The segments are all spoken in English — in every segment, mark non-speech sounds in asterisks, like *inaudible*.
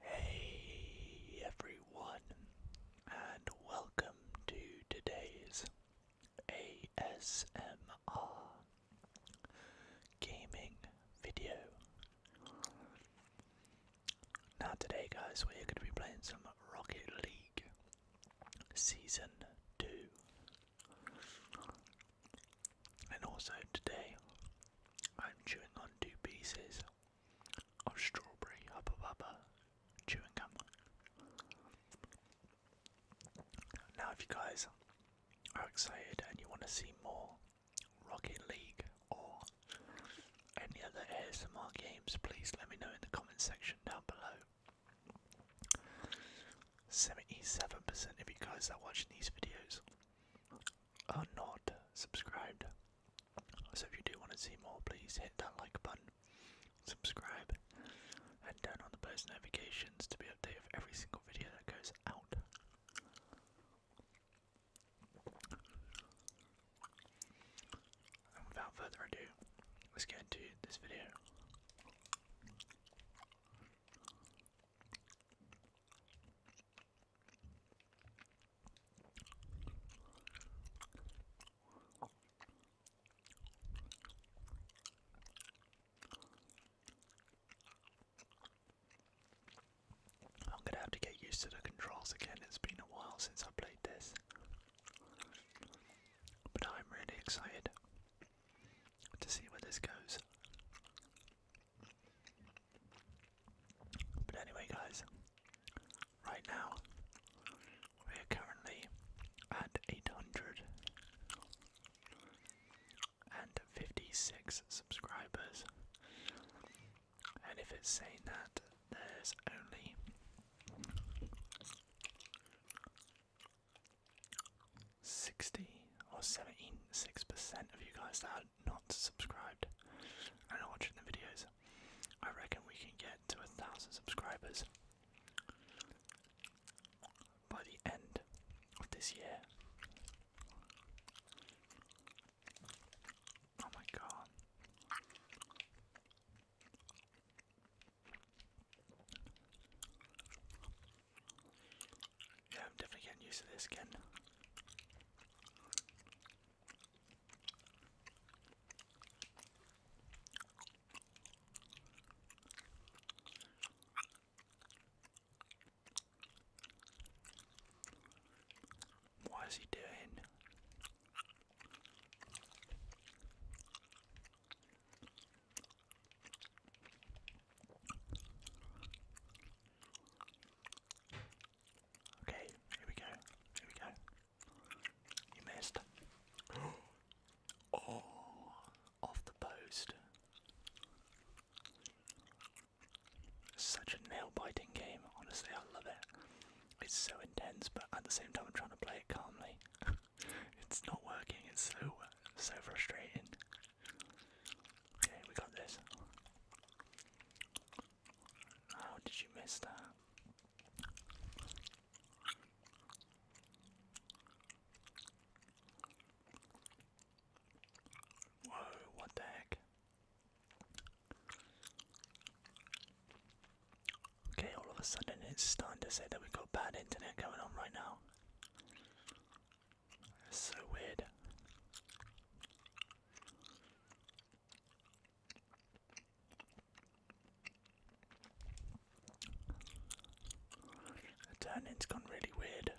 Hey everyone, and welcome to today's ASMR gaming video. Now, today, guys, we're going to be playing some Rocket League Season 2. And also, today, I'm chewing on two pieces of strawberry Hubba Bubba chewing gum. Now, if you guys are excited and you want to see more Rocket League, or any other ASMR games, please let me know in the comment section down below. 77% of you guys that are watching these videos are not subscribed. So if you do want to see more, please hit that like button, subscribe, and turn on the post notifications to be updated of every single video that goes out without further ado, let's get into this video. I'm gonna have to get used to the controls again, it's been a while since I played this. But I'm really excited to see where this goes. But anyway, guys, right now we're currently at 800 and 56 subscribers. And if it's saying that, there's only sixty or seventy-six percent of you guys that are not subscribed and are watching the videos. I reckon we can get to a thousand subscribers by the end of this year. Oh my god. Yeah, I'm definitely getting used to this again. What is he doing? Okay, here we go. Here we go. You missed. *gasps* oh, off the post. Such a nail biting game, honestly, I love it. It's so intense, but at the same time, I'm trying to play it calmly. *laughs* it's not working, it's so, so frustrating. Okay, we got this. How did you miss that? Whoa, what the heck? Okay, all of a sudden it's starting to say that we've got bad internet going on right now. so weird. The turning's gone really weird.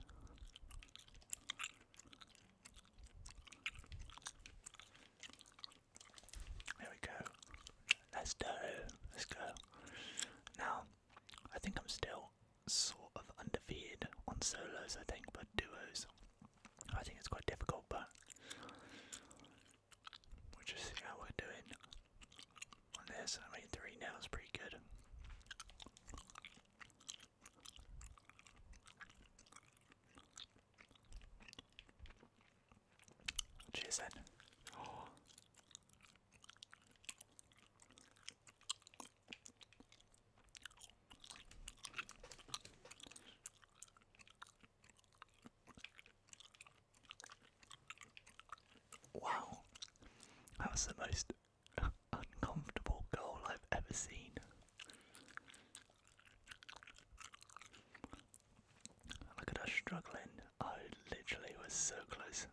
There we go. Let's do. Let's go. Now, I think I'm still sort of undefeated on solos, I think, but duos, I think it's quite difficult, but we'll just see how we're doing on this. I mean, three now is pretty good. Cheers *gasps* Wow, that was the most uncomfortable goal I've ever seen. Look at us struggling. I literally was so close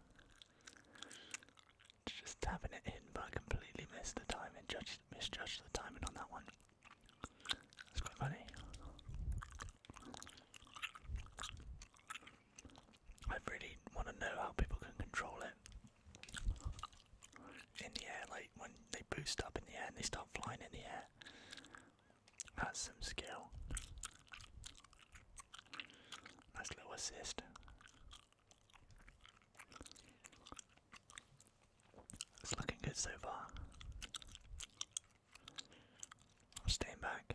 to just tapping it in, but I completely missed the timing, judged, misjudged the timing on that one. That's quite funny. I really want to know how people can control it in the air. Like when they boost up in the air and they start flying in the air, that's some skill. Nice little assist. It's looking good so far. i back.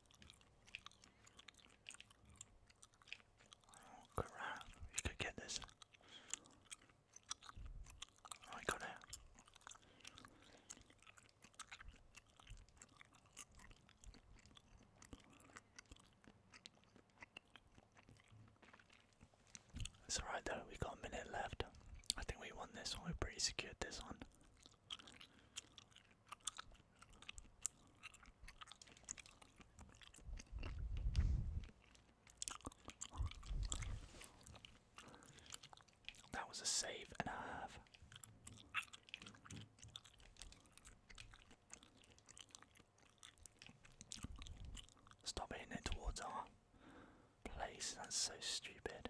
Oh crap, you could get this. Oh, I got It's alright though, we got a minute left. I think we won this one, we pretty secured this one. That was a save and a half. Stop hitting towards our place, that's so stupid.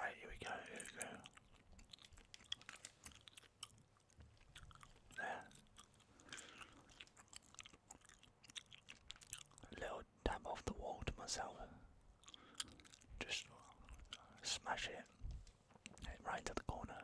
Right, here we go, There. little dab off the wall to myself. Just smash it right to the corner.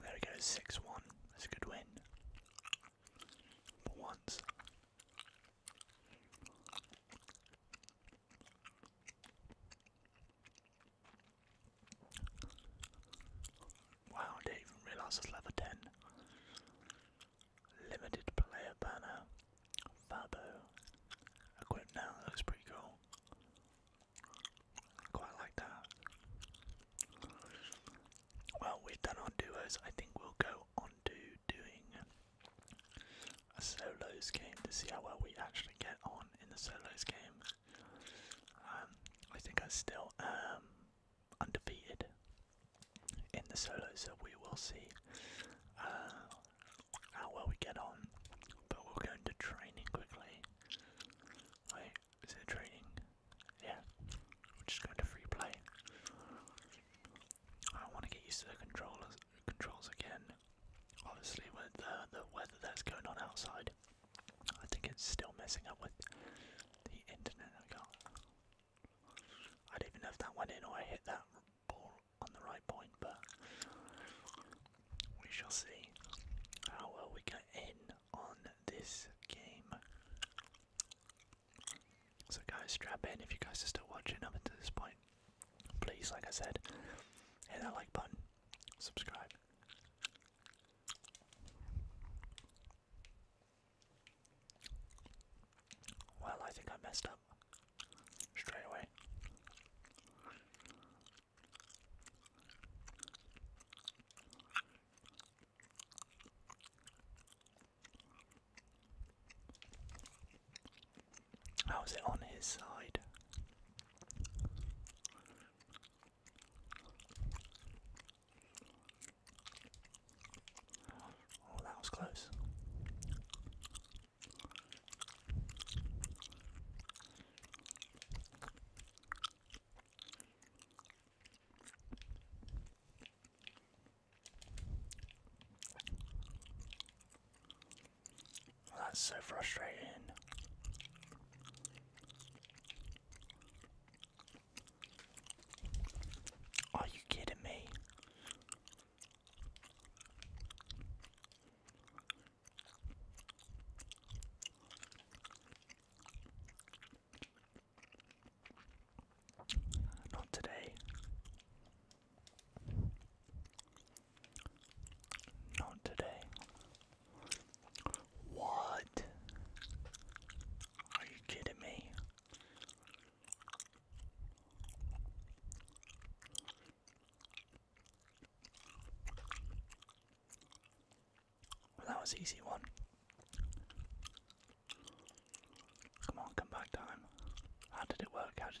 There we go, 6 1. That's a good win. For once. Wow, didn't even realise it's level 10. Limited player banner. Fabo. Equipped now, that looks pretty cool. Quite like that. Well, we've done our duos. I think we'll go on to doing a solos game to see how well we actually get on in the solos game. Um, I think I still am undefeated in the solos, so we will see uh, how well we get on. But we'll go into training quickly. Wait, is it training? Yeah, we're just going to free play. I want to get used to the controllers, controls again. Obviously, with the weather that's going on outside, I think it's still messing up with the internet. I can't. I don't even know if that went in or I hit that ball on the right point, but we shall see how well we get in on this game. So, guys, strap in if you guys are still watching up until this point please, like I said, hit that like button, subscribe. Well, I think I messed up straight away. How is it on his side? Oh, that was close. That's so frustrating. Are you kidding me? Not today. Not today. What? Are you kidding me? that was easy one. Come on, come back time. How did it work? How did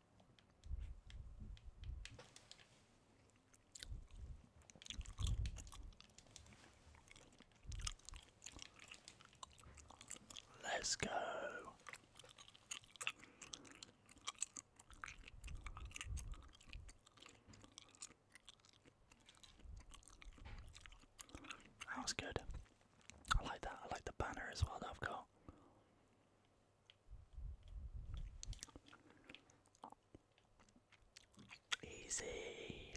Let's go. That was good. I like that. I like the banner as well I've got. Easy.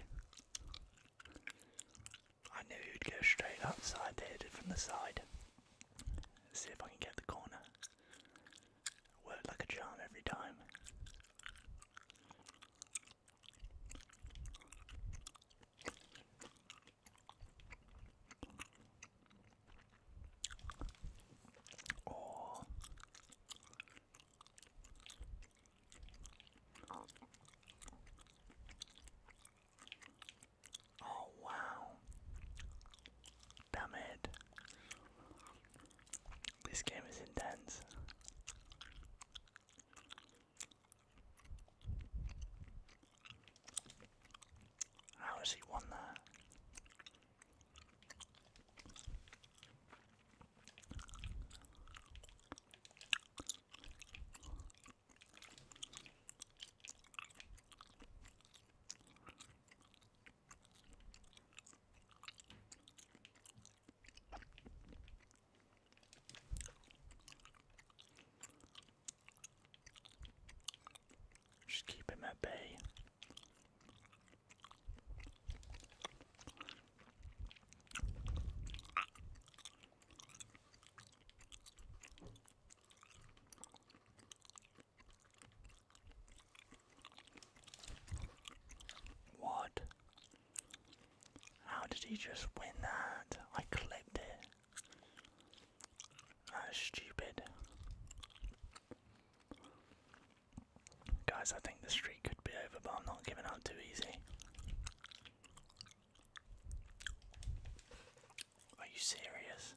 I knew you'd go straight outside there from the side. Let's see if I can get the corner. Work like a charm every time. Oh. Oh, wow. Damn it. This game is intense. How has he won that? Just keep him at bay. What? How did he just win that? I clipped it stupid. Guys, I think the streak could be over, but I'm not giving up too easy. Are you serious?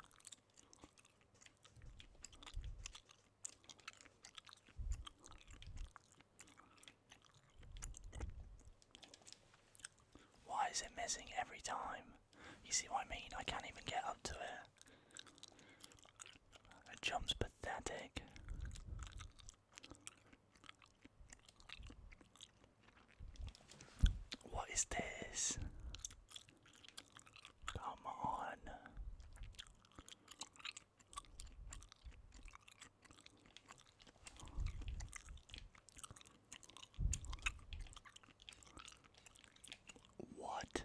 Why is it missing every time? You see what I mean? I can't even get up to it. It jump's pathetic. What is this? Come on. What?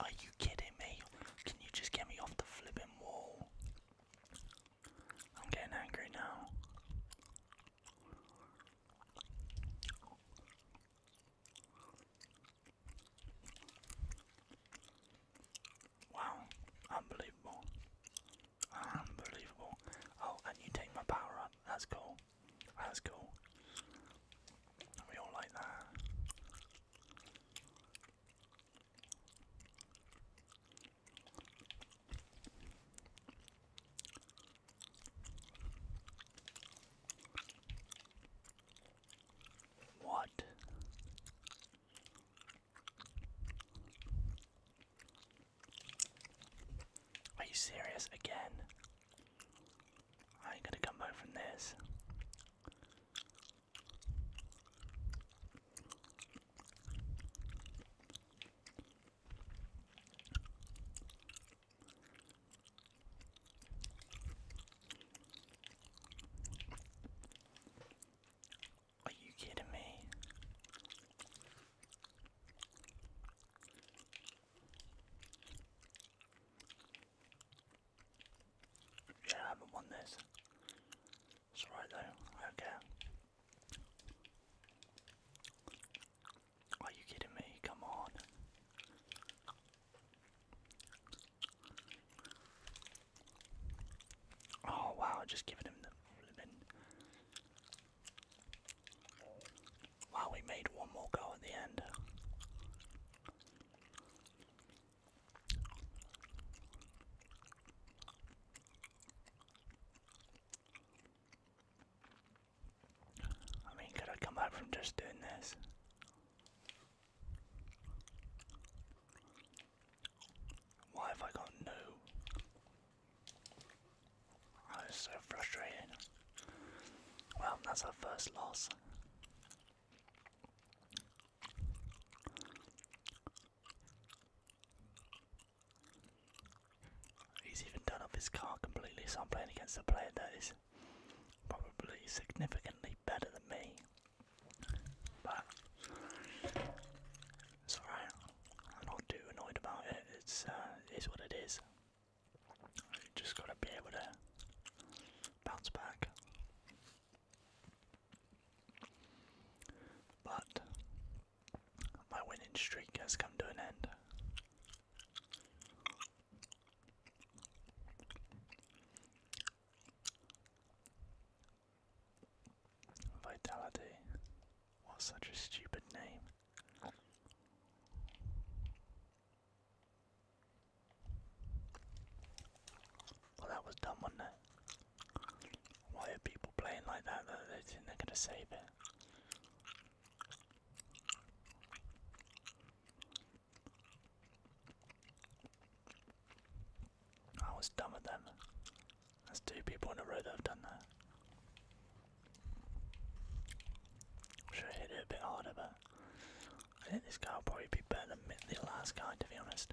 Are you kidding me? Can you just get me off the flipping wall? I'm getting angry now. Wow, unbelievable. Unbelievable. Oh, and you take my power up. That's cool. That's cool. We all like that. What? Are you serious again? I ain't gonna come home from this. Are you kidding me? Yeah, I haven't won this. It's alright though, I Are you kidding me? Come on. Oh wow, just giving him the Wow, we made one more goal at the end. I mean, could I come back from just doing this? Why have I got no? I so frustrated. Well, that's our first loss. He's even done off his car completely, so I'm playing against a player that is probably significantly better than me. But it's alright. I'm not too annoyed about it. It's uh, it is what it is. just gotta be able to bounce back. But my winning streak has come to an end. Vitality. What such a stupid name. Well, that was dumb, wasn't it? Why are people playing like that They think they're gonna save it. I was done with them. There's two people in a row that have done that. Should hit it a bit harder, but I think this guy will probably be better than the last guy, to be honest.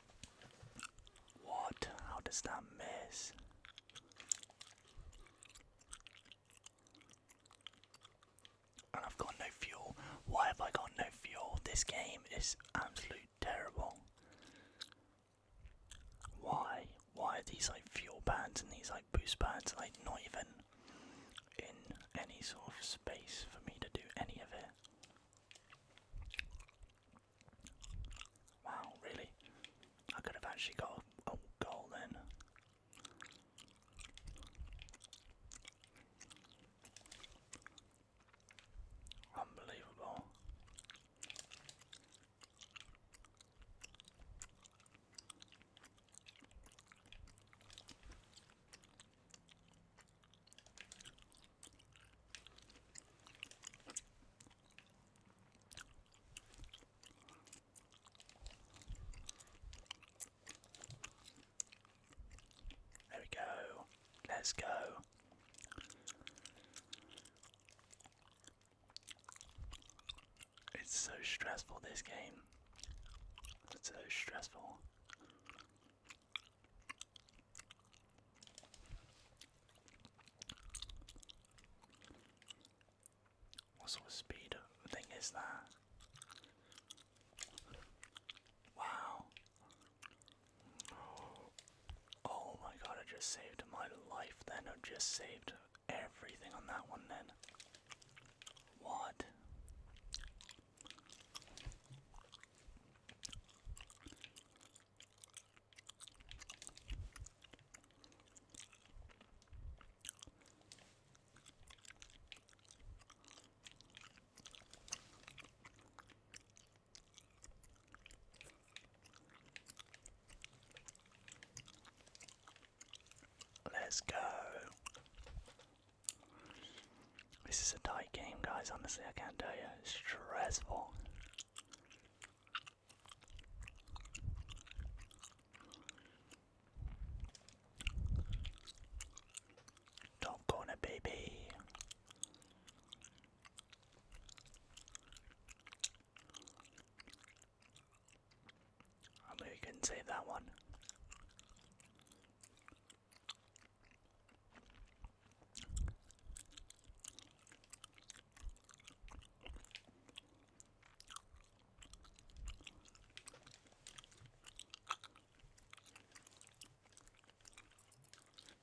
What? How does that miss? And I've got no fuel. Why have I got no fuel? This game is absolute terrible. Why? Why are these like fuel pads and these like boost pads like not even in any sort of space for me to do any of it? Wow, really? I could have actually got a, a oh, goal then. Unbelievable. There we go. Let's go. It's so stressful, this game. It's so stressful. What sort of speed thing is that? Wow. Oh my god, I just saved my life then. I just saved everything on that one then. What? Let's go. This is a tight game, guys. Honestly, I can't tell you. It's stressful. Don't go in a baby. I mean, we could save that one.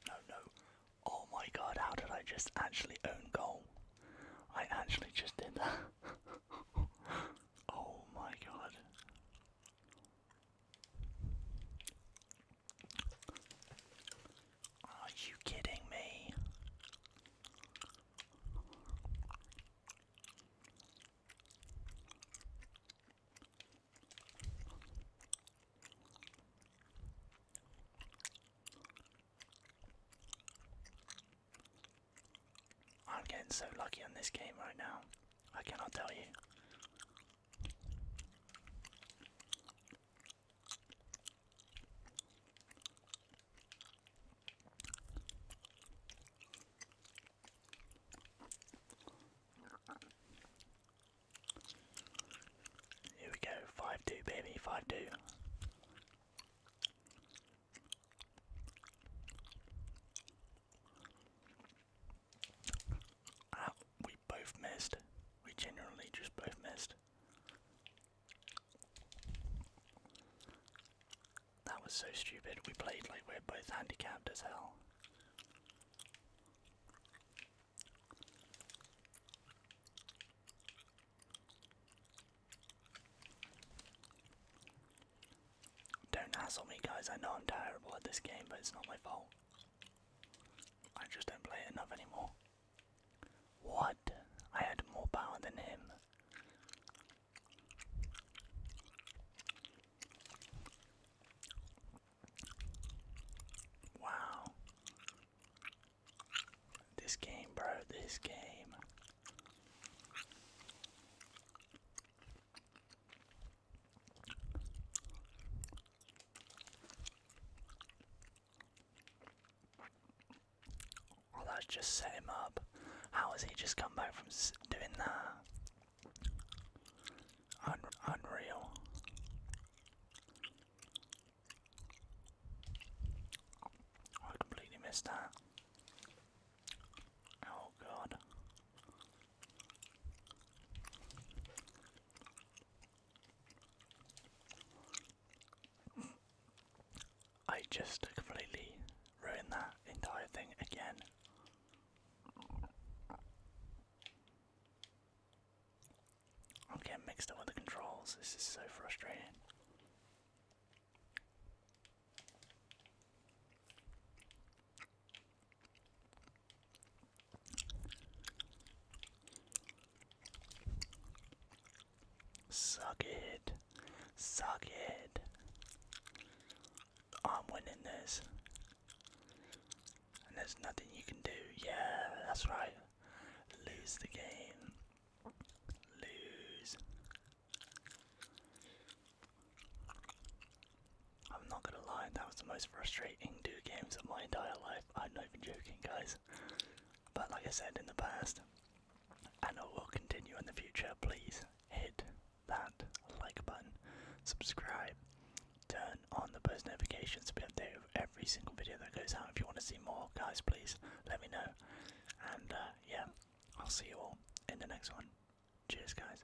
No, no. Oh my god, how did I just actually own goal? I actually just did that. *laughs* oh my god. Are you kidding me? I'm getting so lucky on this game right now. I cannot tell you. Here we go, 5 2, baby, 5 2 we both missed. We generally just both missed. That was so stupid. We played like we're both handicapped as hell. Don't hassle me, guys. I know I'm terrible at this game, but it's not my fault. I just don't play it enough anymore. What? I had more power than him. Wow. This game, bro, this game. Well, just set him up. How has he just come back from doing that? unreal. I completely missed that. Oh god. I just completely ruined that entire thing again. I'm getting mixed up with the controls, this is so frustrating. Suck it. Suck it. I'm winning this. And there's nothing you can do. Yeah, that's right. Lose the game. Lose. I'm not gonna lie, that was the most frustrating two games of my entire life. I'm not even joking, guys. But like I said in the past, and I will continue in the future, please hit that like button, subscribe, turn on the post notifications to be updated with every single video that goes out. If you want to see more, guys, please let me know. And uh, yeah, I'll see you all in the next one. Cheers, guys.